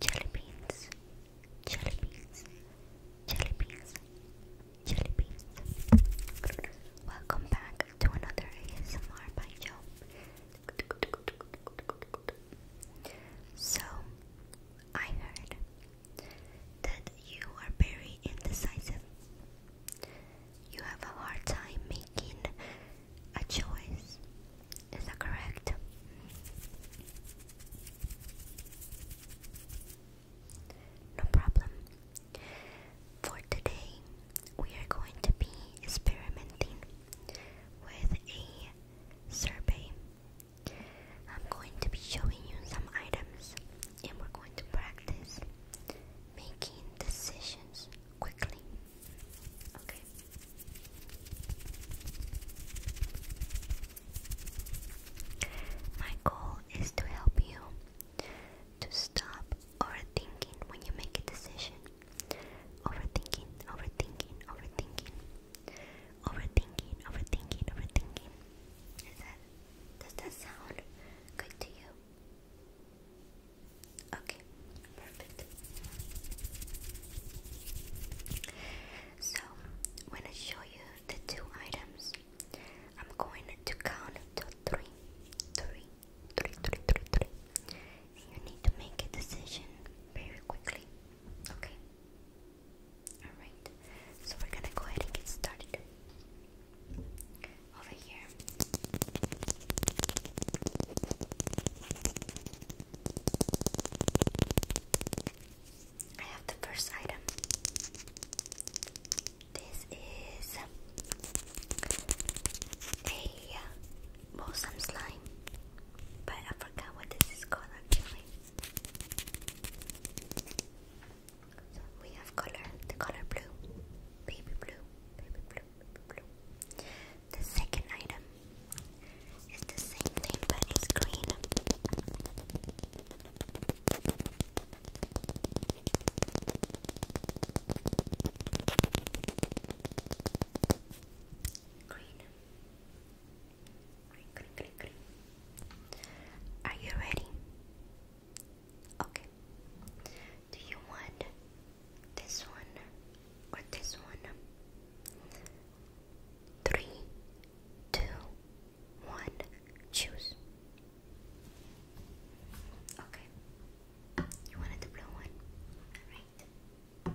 jelly beans, jelly beans, jelly beans, jelly beans. Welcome back to another ASMR by Joe. So, I heard that you are very indecisive. You have a hard time making a choice. Is that correct? No problem. For today, we are going to be experimenting with a survey. I'm going to be showing you some items and we're going to practice making decisions quickly. Okay. My goal is to help you to stop overthinking when you make a decision. Overthinking, overthinking, overthinking. Overthinking, overthinking, overthinking. Is that does that sound good to you? Okay, perfect. So, when I show you the two items, I'm going to count to three, three, three, three, three, three. And you need to make a decision very quickly. Okay? Alright, so we're gonna go ahead and get started over here. I have the first item. This is a balsam slime, but I forgot what this is called actually. we have color, the color blue, baby blue, baby blue. The second item is the same thing but it's green. Green. Green, green, green, Are you ready? Okay. Do you want this one or this one? Three, two, one, choose. Okay. You wanted the blue one? Alright.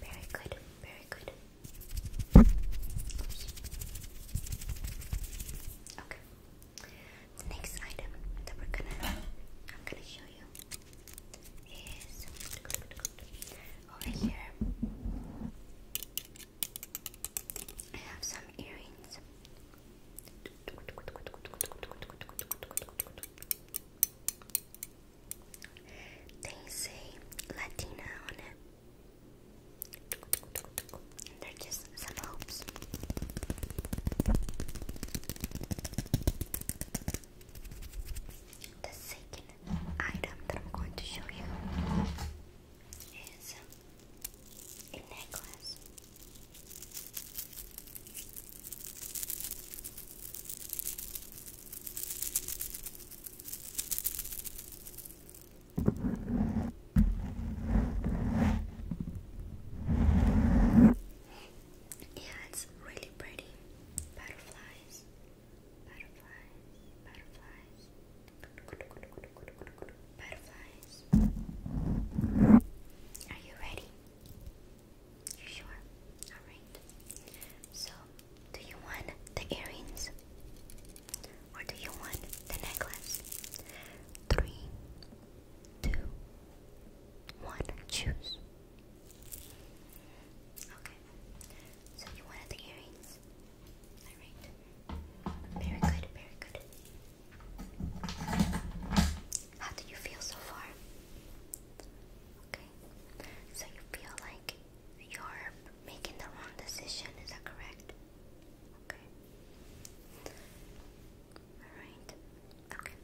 Very good, very good. Okay the next item that we're gonna I'm gonna show you is over here. I have some earrings. They say Latina on it. they're just us The second item that I'm going to show you is a necklace. Yeah, it's really pretty. Butterflies, butterflies, butterflies, butterflies. Are you ready? You sure? Alright. So, do you want the earrings? Or do you want the necklace? Three, two, one, choose. Okay, so you wanted the earrings? Alright, very good, very good. How do you feel so far? Okay, so you feel like you're making the wrong decision, is that correct? Okay. Alright. Okay.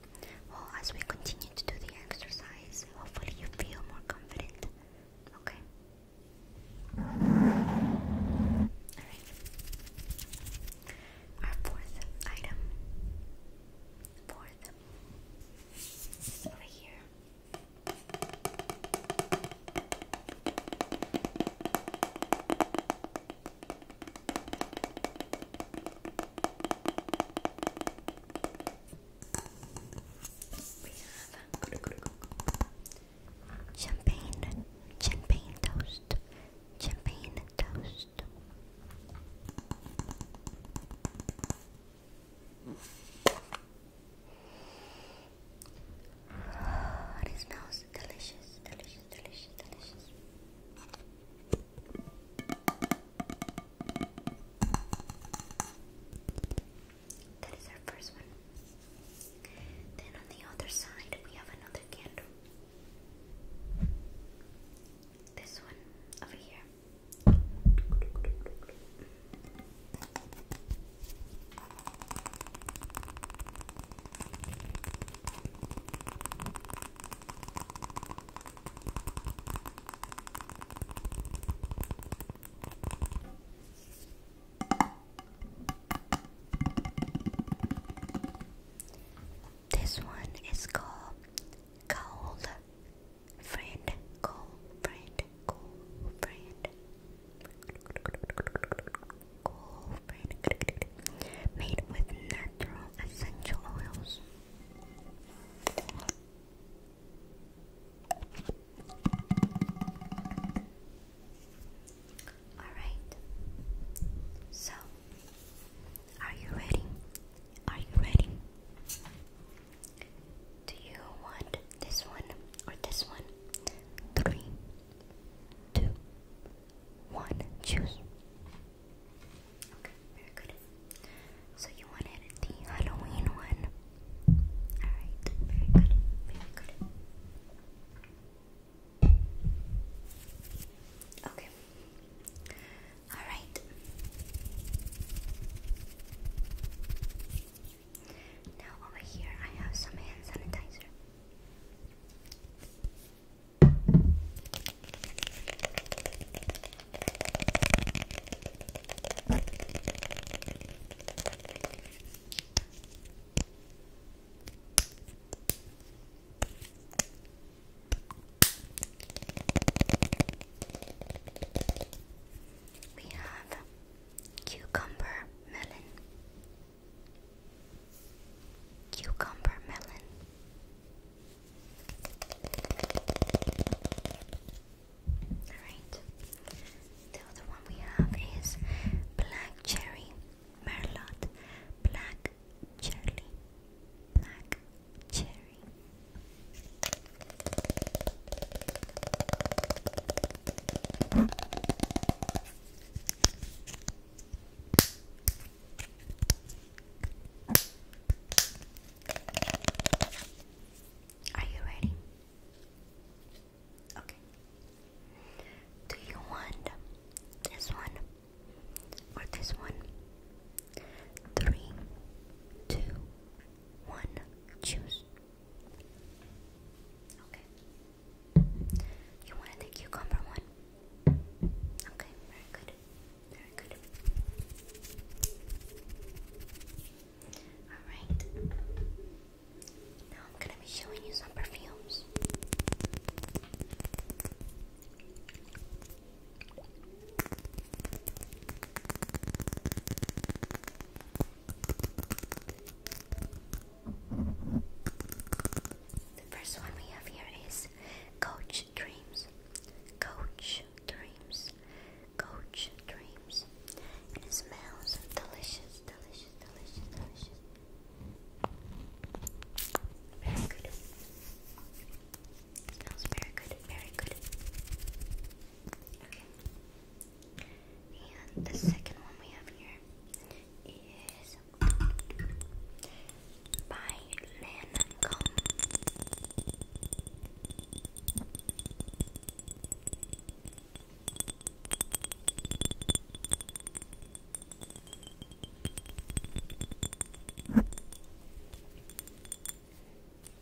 Well, as we continue to do the exercise, hopefully you feel more confident. Okay. Alright. Our fourth item. Fourth. over here champagne, champagne toast, champagne toast. it smells delicious, delicious, delicious, delicious. That is our first one. Then on the other side, we have another candle. This one over here. This one is called cold friend, cold friend, cold friend, made with natural essential oils. Alright, so are you ready? Are you ready? Do you want this one or this one? Three, two, one. Choose. Okay, very good. So you wanted the Halloween one. Alright, very good, very good. Okay. Alright. Now, over here, I have some hand sanitizer. We have Cucumber melon. Cucumber melon. Alright. The other one we have is black cherry merlot. Black cherry. Black cherry. Are you ready? Okay. Do you want this one or this one? Three, two, one, choose. Okay. You want the cucumber one? Okay, very good. Very good. Alright. Now I'm gonna be showing you some perfumes. The first one we have here is Coach Dreams. Coach Dreams. Coach Dreams. It smells delicious, delicious, delicious, delicious. Very good. smells very good, very good. Okay. And the second one we have here is by Lancome.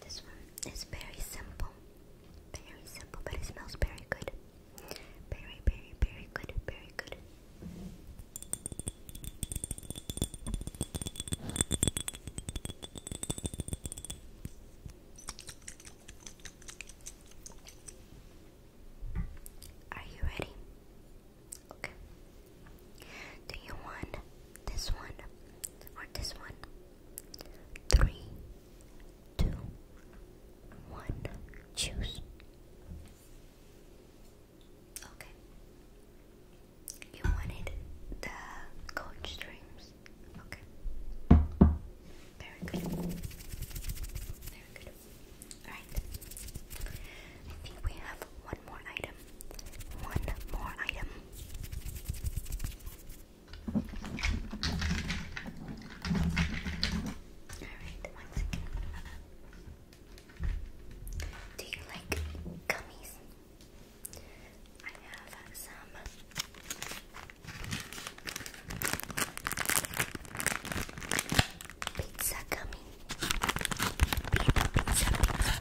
This one is very simple. Very simple, but it smells very good. Very, very, very good. Very good. Are you ready? Okay. Do you want this one or this one? Three, two, one, choose. Okay. You wanted the coach streams. Okay. Very good. Very good. Alright. I think we have one more item. One more item. Alright, once again. Do you like gummies? I have some. Pizza gummy. Pizza, pizza,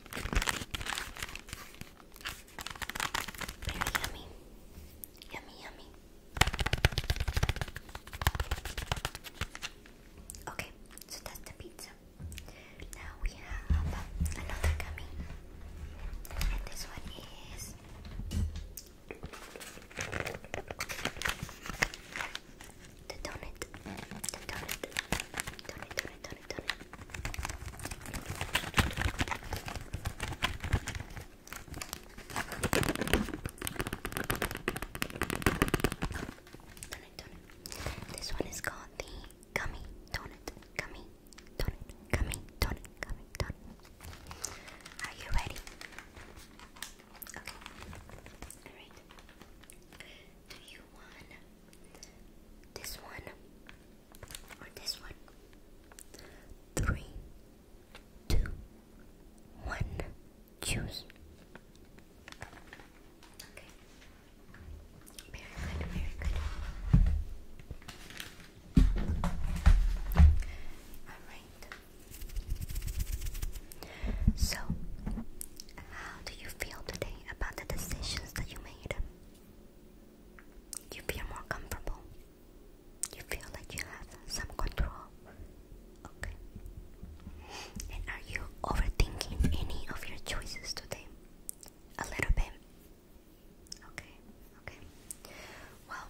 Very yummy. Yummy, yummy. Okay, so that's the pizza. Now we have another gummy. And this one is the donut, the donut, donut, donut, donut, donut. Donut, donut. This one is called the gummy donut, gummy donut, gummy donut, gummy donut. Are you ready? Okay. Alright. Do you one, this one, or this one. Three, two, one. Choose. Okay. Very good, very good. Alright. So, how do you feel today about the decisions that you made? You feel more comfortable? You feel like you have some control? Okay. And are you overthinking any of your choices today? A little bit? Okay, okay. Well,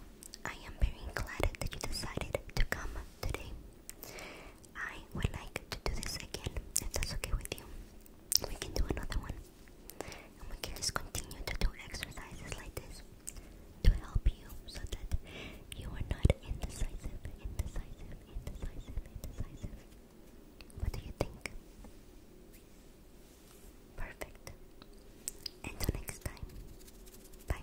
I am very glad that you decided to come today. I would like to do this again, if that's okay with you. We can do another one. And we can just continue to do exercises like this to help you so that you are not indecisive, indecisive, indecisive, indecisive. What do you think? Perfect. Until next time. Bye.